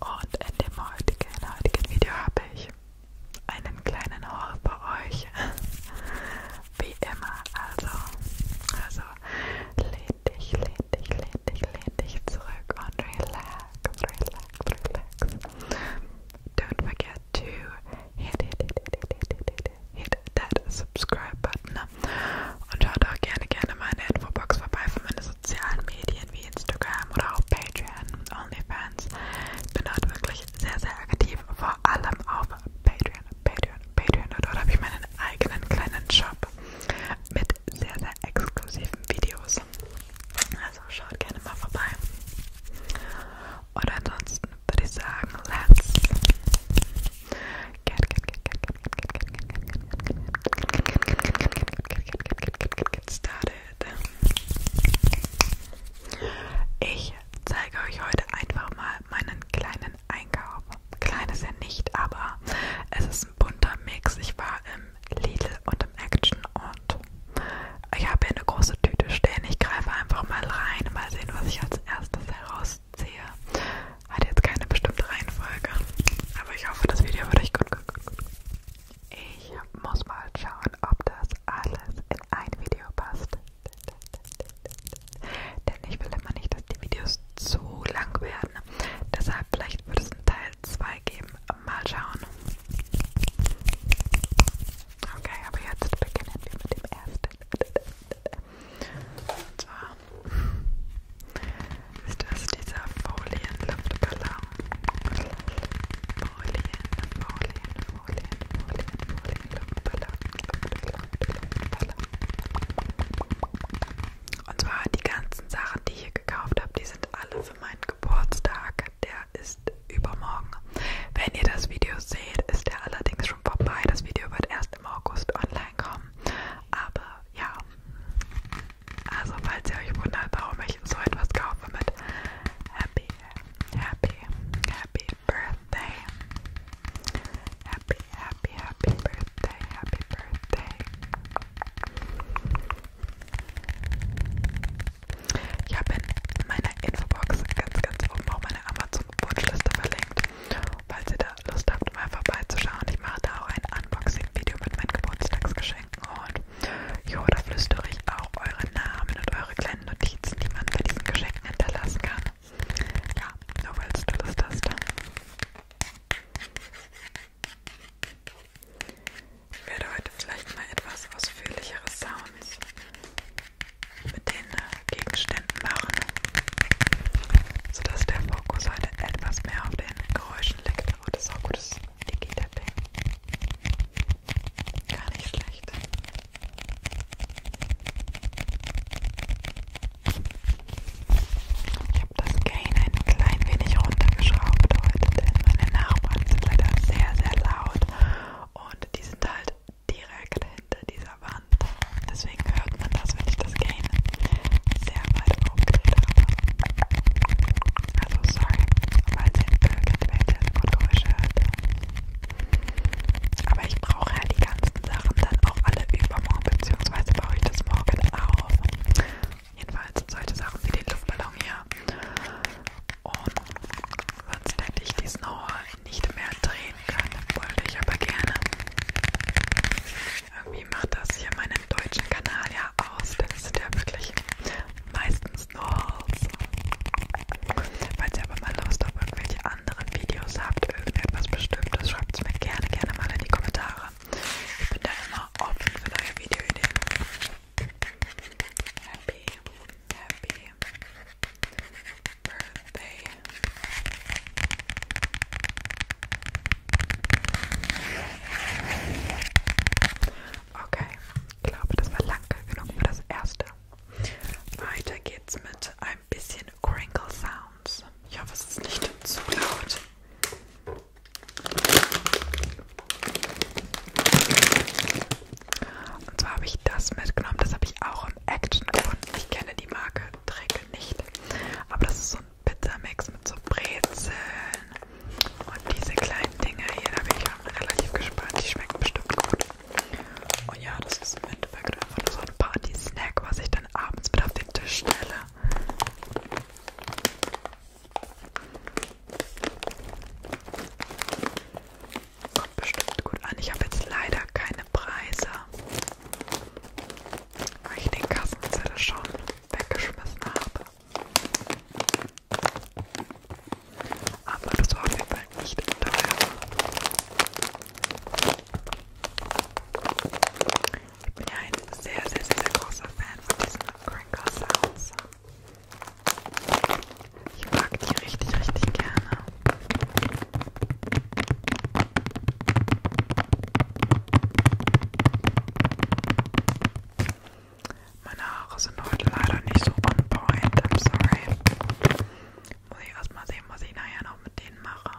Und in dem heutigen, heutigen Video habe ich einen kleinen Haul bei euch. Wie immer, also, also lehn dich, lehn dich, lehn dich, lehn dich zurück und relax, relax, relax. Don't forget to hit, hit, hit, hit, hit, hit that subscribe button Und schaut auch gerne, gerne meine Infobox vorbei für meine sozialen Medien wie Instagram oder auch Patreon und OnlyFans. Ich bin dort wirklich sehr, sehr aktiv, vor allem auf Patreon, Patreon, Patreon. Und dort habe ich meinen eigenen kleinen Shop mit sehr, sehr exklusiven Videos. Also schaut gerne mal vorbei. Und ansonsten würde ich sagen, let's get, get, get, get, get, get, get, get, get, Get started. Ich zeige euch heute einfach mal meinen kleinen Einkauf. Klein ist er nicht, aber es ist ein bunter Mix. Ich war im Lidl und im Action und ich habe hier eine große Tüte stehen. Ich greife einfach mal rein, mal sehen, was ich als erstes herausziehe. Hat jetzt keine bestimmte Reihenfolge, aber ich hoffe, das Video wird euch gut gefallen gut, gut. Ich muss mal schauen, ob das alles in ein Video passt. Denn ich will immer nicht, dass die Videos zu lang werden. Deshalb vielleicht wird es einen Teil 2 geben. Mal schauen. Okay, aber jetzt beginnen wir mit dem ersten. Und zwar ist das dieser Folienluftballon. Folien, Folien, Folien, Folien, Folienluftballon. Luftballon. Und zwar die ganzen Sachen, die ich hier gekauft habe, die sind alle für meinen Geburtstag. Der ist übermorgen. Wenn ihr das Video seht, ist der allerdings schon vorbei. Das Video wird erst im August online kommen. Aber ja, also falls ihr euch wundert, warum ich so etwas kaufe mit Happy, Happy, Happy Birthday. Happy, Happy, Happy Birthday, Happy Birthday. Ich habe in meiner Infobox ganz, ganz oben auch meine Amazon-Wunschliste verlinkt. Falls ihr da Lust habt, mal vorbeizuschauen, ich mache da auch ein Unboxing-Video mit meinen Geburtstagsgeschenken schenken und jo, da flüstere ich auch eure Namen und eure kleinen Notizen, die man bei diesen Geschenken hinterlassen kann. Ja, nur weil du Lust hast. Ich werde heute vielleicht mal etwas ausführlichere Sounds mit den äh, Gegenständen machen, sodass der Fokus heute etwas mehr auf den Geräuschen liegt. Und das ist auch gut, das wie geht der Ding? Gar nicht schlecht. Ich habe das Gain ein klein wenig runtergeschraubt heute, denn meine Nachbarn sind leider sehr, sehr laut und die sind halt direkt hinter dieser Wand. Deswegen hört man das, wenn ich das Gain sehr weit Aufkleber. Also sorry, falls ihr blöde Welt und Geräusche hört. Aber ich brauche ja die ganzen Sachen dann auch alle übermorgen, beziehungsweise baue ich das morgen auf. Jedenfalls solche Sachen wie den Luftballon hier. Und sonst hätte ich die Snowball nicht mehr drehen können, wollte ich aber gerne. Irgendwie macht das hier meinen deutschen Kanal ja aus, denn es sind ja wirklich meistens nur Hauls. Falls ihr aber mal Lust auf irgendwelche anderen Videos habt, irgendetwas Bestimmtes, schreibt es mir gerne, gerne mal in die Kommentare. Ich bin da immer offen für neue Videoideen. Happy, happy Birthday. Okay, ich glaube, das war lang genug für das erste. Weiter geht's mit ein bisschen Crinkle Sounds. Ich hoffe, es ist nicht zu laut. Und zwar habe ich das mitgenommen, das habe ich auch im Action gefunden. Ich kenne die Marke Trick nicht, aber das ist so ein Pizzamix mit so Brezeln und diese kleinen Dinger hier, da bin ich auch relativ gespannt, die schmecken bestimmt gut. Und ja, das ist im Endeffekt einfach nur so ein Party-Snack, was ich dann abends mit auf den Tisch stelle. Kommt bestimmt gut an. Ich habe jetzt leider keine Preise, weil ich den Kassenzettel schon weggeschmissen habe. Aber das war auf jeden Fall nicht teuer. Ich bin ja ein sehr, sehr, sehr, sehr großer Fan von diesen Cranker Sounds. Ich mag die richtig, richtig gerne. Meine Haare sind heute leider nicht so on point, I'm sorry. Muss ich erstmal sehen, was ich nachher noch mit denen mache.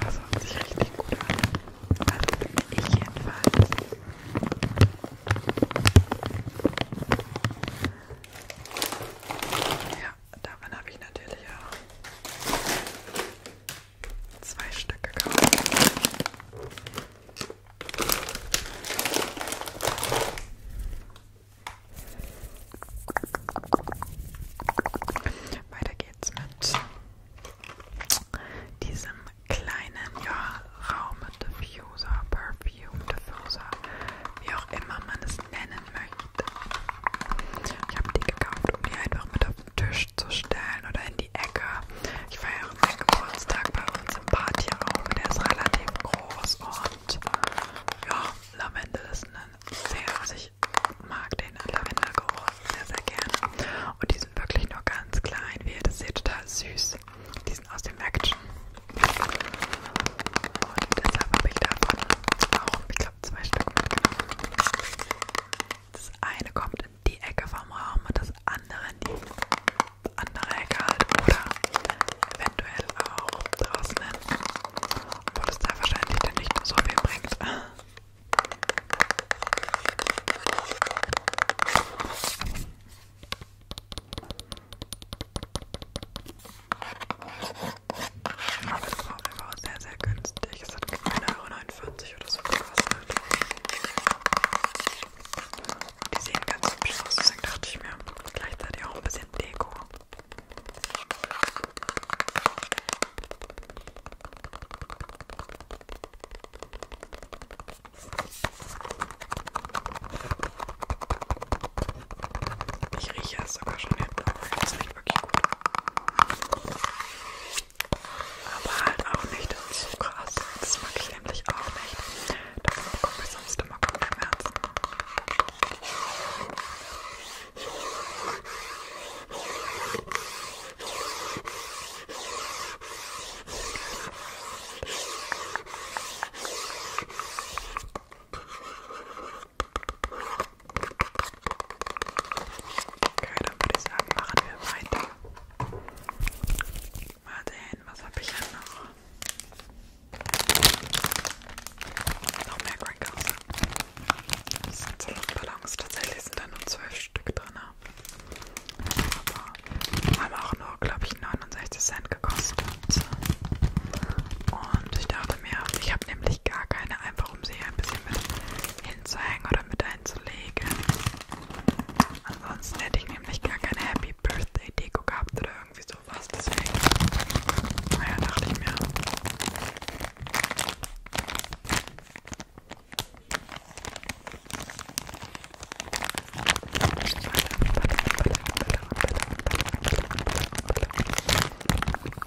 Das hört sich richtig gut an. Also, ich jedenfalls. Ja, davon habe ich natürlich auch zwei Stück gekauft. Weiter geht's mit diesem kleinen ja, Raumdiffuser, Perfume Diffuser, wie auch immer man es nennen möchte. Ich habe die gekauft, um die einfach mit auf den Tisch zu stellen oder in die Ecke. Ich feiere meinen Geburtstag bei uns im Partyraum. Der ist relativ groß und ja, Lavendel ist ein sehr, also ich mag den Lavendelgeruch sehr, sehr gerne. Und die sind wirklich nur ganz klein, wie ihr das seht, total süß. Die sind aus dem Action. Und deshalb habe ich davon auch, ich glaube, zwei Stück mitgenommen. Das eine kommt in die Ecke vom Raum und das andere in die andere Ecke halt. Oder eventuell auch draußen hin, obwohl es da wahrscheinlich dann nicht so viel bringt. Aber das Problem war sehr, sehr günstig. Es hat 1,49 Euro oder so gekostet. Die sehen ganz hübsch aus, deswegen dachte ich mir, gleichzeitig auch ein bisschen Deko. Ich rieche es sogar schon hinten, aber ich weiß nicht, wirklich gut. Aber halt auch nicht so krass. Das mag ich nämlich auch nicht. Davon bekomme ich sonst immer Kopfschmerzen. Okay, dann würde ich sagen, machen wir weiter. Mal sehen, was habe ich denn noch? Noch mehr Crackers. Das sind so Luftballons. Tatsächlich sind da nur zwölf Stück drin. Ne? Aber haben auch nur, glaube ich, 69 Cent gekostet. Und ich dachte, Haare mehr. Ich habe nämlich gar keine, einfach um sie ein bisschen mit hinzuhängen oder mit einzulegen. Ansonsten hätte ich nämlich gar keine Happy Birthday Deko gehabt oder irgendwie sowas. Deswegen, naja, dachte ich mir.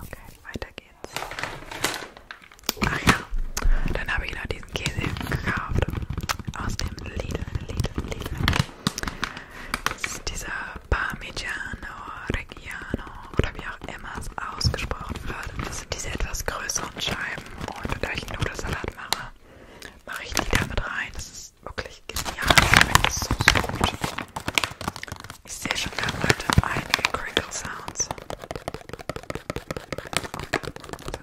Okay, weiter geht's. Ach ja, dann habe ich noch die diesen Käse gekauft. Aus dem Lidl, Lidl, Lidl. Das ist dieser Parmigiano Reggiano oder wie auch immer es ausgesprochen wird. Das sind diese etwas größeren Scheiben. Und da ich einen Nudelsalat mache, mache ich die damit rein. Das ist wirklich genial. Das ist so, so gut. Ich sehe schon, wir haben heute einige Crinkle Sounds.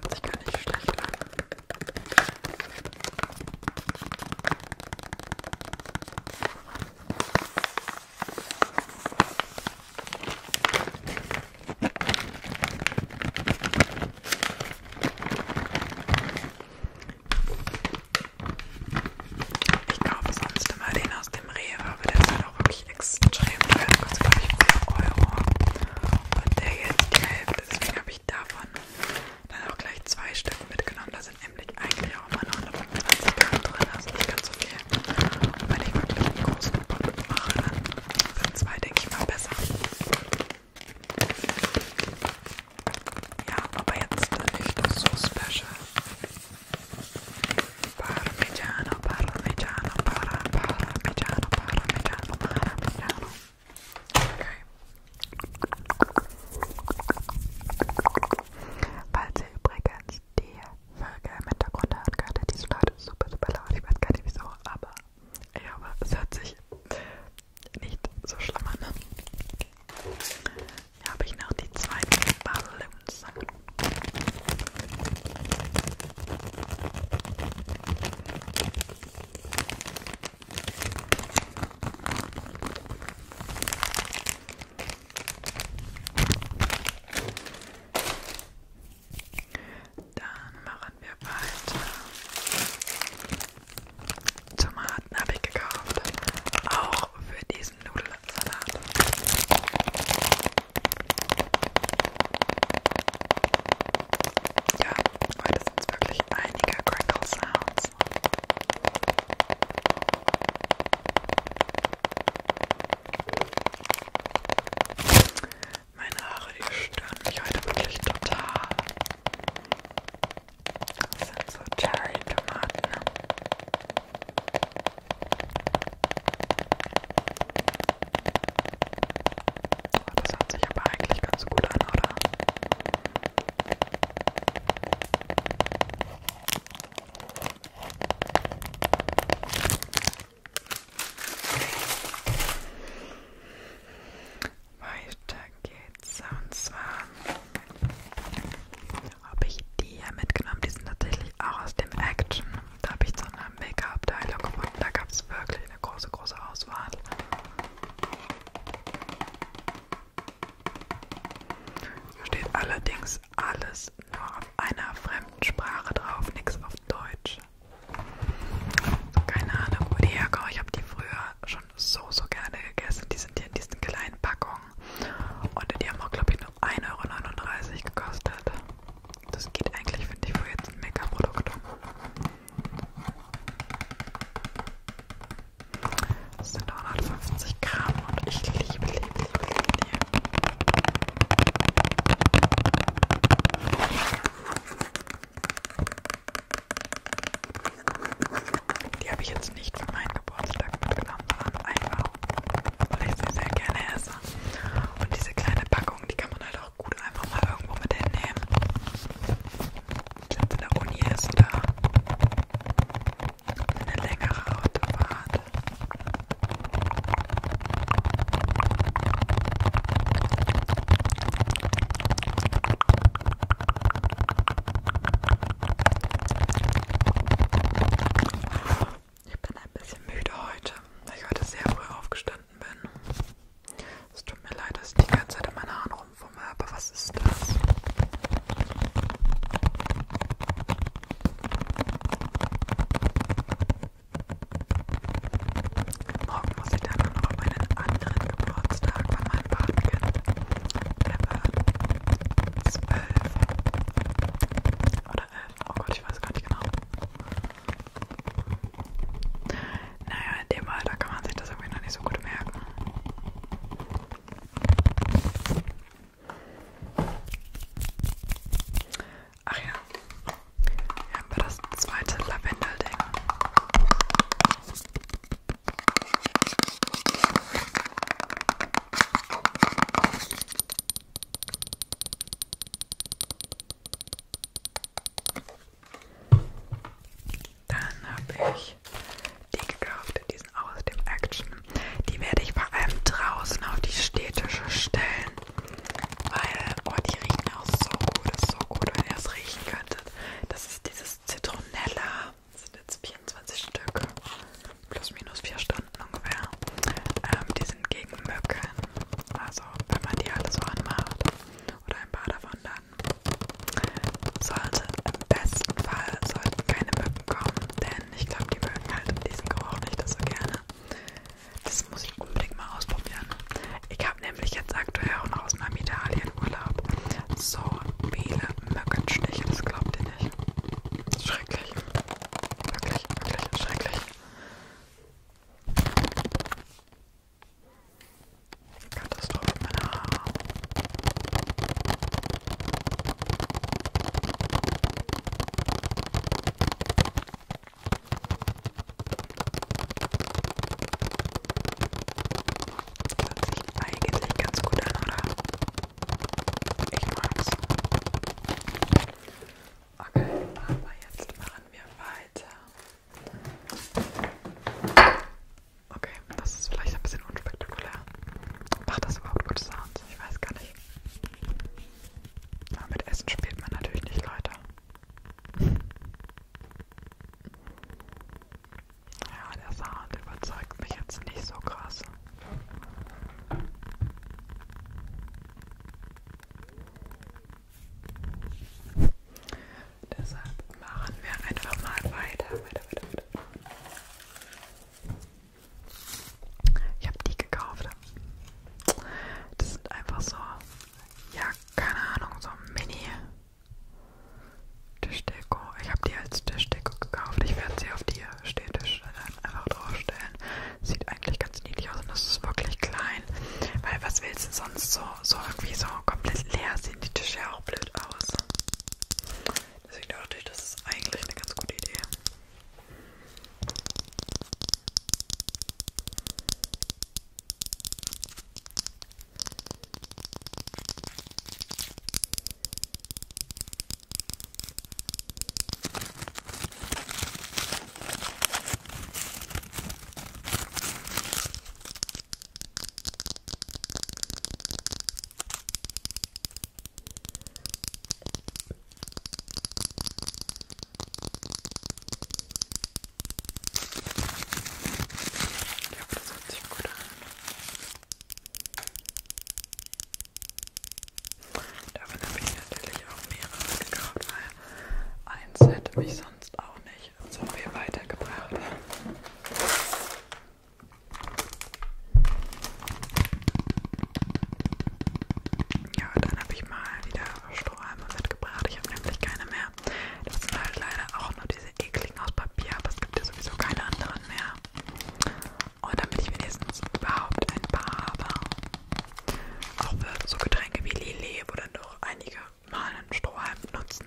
Das hört sich gar nicht schlecht an. Ich kaufe sonst immer den aus dem Rewe, aber der ist halt auch wirklich extrem teuer. Da kostet, glaube ich, 4 Euro. Und der jetzt die Hälfte, deswegen habe ich davon dann auch gleich zwei Stück mitgenommen. Da sind nämlich eigentlich auch immer noch 120 Gramm drin, also nicht ganz so viel. Und wenn ich wirklich einen großen Punkt mache, dann sind zwei, denke ich, mal besser. Ja, aber jetzt nicht so special. Parmigiano, parmigiano, para, parmigiano, parmigiano, parmigiano. Falls ihr übrigens die Vögel im Hintergrund hört, gerade die Solate ist super, super laut. Ich weiß gar nicht wieso, aber ich hoffe, es hört sich nicht so schlimm an. Hier habe ich noch die zweiten Balloons. Dann machen wir weiter. Tomaten habe ich gekauft. Auch für diesen Nudelsalat. Ja, Heute sind es wirklich einige Crackle Sounds. Meine Haare, die stören mich heute wirklich total. Das sind so Cherry-Tomaten. Oh, das hört sich aber eigentlich ganz gut an, oder? Weiter geht's. Und zwar habe ich die hier mitgenommen. Die sind tatsächlich auch aus dem Action. Da habe ich so eine Make-up-Abteilung gefunden. Da gab es wirklich eine große, große Auswahl. Hier steht allerdings alles nur auf einer fremden Sprache drauf, nichts auf Deutsch. Also keine Ahnung, wo die herkommen. Ich habe die früher schon so, so gerne gegessen. Die sind hier in diesen kleinen Packungen. Und die haben auch, glaube ich, nur 1,39 Euro gekostet. Das geht eigentlich, finde ich, für jetzt ein Mega-Produkt. Um. Das sind 150 Gramm und ich liebe, liebe, liebe, liebe. Die habe ich jetzt nicht für meinen Geburtstag mitgenommen, sondern einfach, weil ich sie sehr gerne esse. Und diese kleine Packung, die kann man halt halt auch gut einfach mal irgendwo mit hinnehmen. Wenn in der Uni ist oder eine längere Autofahrt. Ich bin ein bisschen müde heute, weil ich heute sehr früh aufgestanden gelandet bin. Es tut mir leid, dass ich die ganze Zeit in meinen Haaren rumfummel, aber was ist das? Morgen muss ich dann noch auf meinen anderen Geburtstag bei meinem Patenkind. Der wird zwölf oder elf. Oh Gott, ich weiß gar nicht genau. Naja, in dem Alter kann man sich das irgendwie noch nicht so gut merken. Ach ja, hier haben wir das zweite Lavendelding. Dann habe ich die gekauft, die sind aus dem Action. Die werde ich vor allem draußen auf die Städtische stellen, weil oh, die riechen auch so gut, das ist so gut, wenn ihr es riechen könntet. Das ist dieses Zitronella, das sind jetzt 24 Stück, plus minus 4 Stunden ungefähr. Ähm, die sind gegen Mücken, also wenn man die alle so anmacht oder ein paar davon da sollte im besten Fall sollten keine Mücken kommen, denn ich glaube, die mögen halt diesen Geruch nicht so gerne. Das muss ich unbedingt mal ausprobieren. Ich habe nämlich jetzt aktuell auch noch aus meinem Italienurlaub so viele Mückenstiche, das glaubt ihr nicht. Schrecklich. Wirklich, wirklich schrecklich. Katastrophe, meine Haare. Das hört sich eigentlich ganz gut an, oder? Ich mag's. Okay, aber jetzt machen wir weiter. Okay, das ist vielleicht ein bisschen unspektakulär. Macht das überhaupt gute Sounds? Ich weiß gar nicht. Aber mit Essen spielt man natürlich nicht, Leute. Ja, der Sound überzeugt mich jetzt nicht so krass. Deshalb machen wir einfach mal weiter, weiter, weiter, weiter. Ich habe die gekauft. Das sind einfach so, ja, keine Ahnung, so Mini-Tischdeko. Ich habe die als Tischdeko gekauft. Ich werde sie auf die Stehtisch einfach draufstellen. Sieht eigentlich ganz niedlich aus und das ist wirklich klein. Weil was willst du sonst so, so irgendwie so komplett leer sehen die Tische ja auch blöd aus. Deswegen dachte ich, das ist eigentlich eine ganz gute Idee. Ich hoffe, das hört sich gut an. Davon habe ich natürlich auch mehrere gekauft, weil eins hätte mich sonst auch nicht mich so viel weitergebracht. Ja, dann habe ich mal wieder Strohhalme mitgebracht. Ich habe nämlich keine mehr. Das sind halt leider auch nur diese ekligen aus Papier, aber es gibt ja sowieso keine anderen mehr. Und damit ich wenigstens überhaupt ein paar habe, auch für so Getränke wie Lillet, wo dann doch einige mal einen Strohhalm nutzen.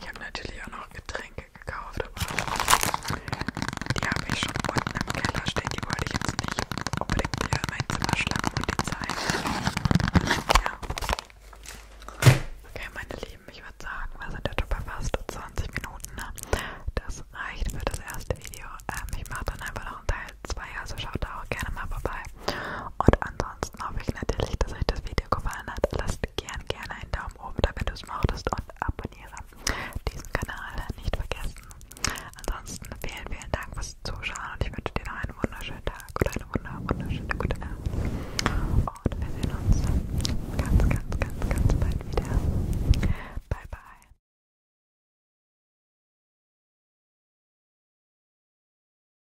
Ich habe natürlich auch noch Getränke gekauft, aber die habe ich schon unten im Keller stehen. Die wollte ich jetzt nicht unbedingt hier in mein Zimmer schlagen und die zeigen. Ja. Okay, meine Lieben, ich würde sagen, wir sind jetzt schon bei fast 20 Minuten. Ne? Das reicht für das erste Video. Ähm, ich mache dann einfach noch einen Teil 2, also schaut da auch gerne mal vorbei. Und ansonsten hoffe ich natürlich, dass euch das Video gefallen hat. Lasst gern gerne einen Daumen oben, da wenn du es mochtest und abonniere diesen Kanal nicht vergessen. Ansonsten vielen, vielen Dank fürs Zuschauen und ich wünsche dir noch einen wunderschönen Tag oder eine wunder, wunderschöne gute Nacht. Und wir sehen uns ganz, ganz, ganz, ganz bald wieder. Bye, bye.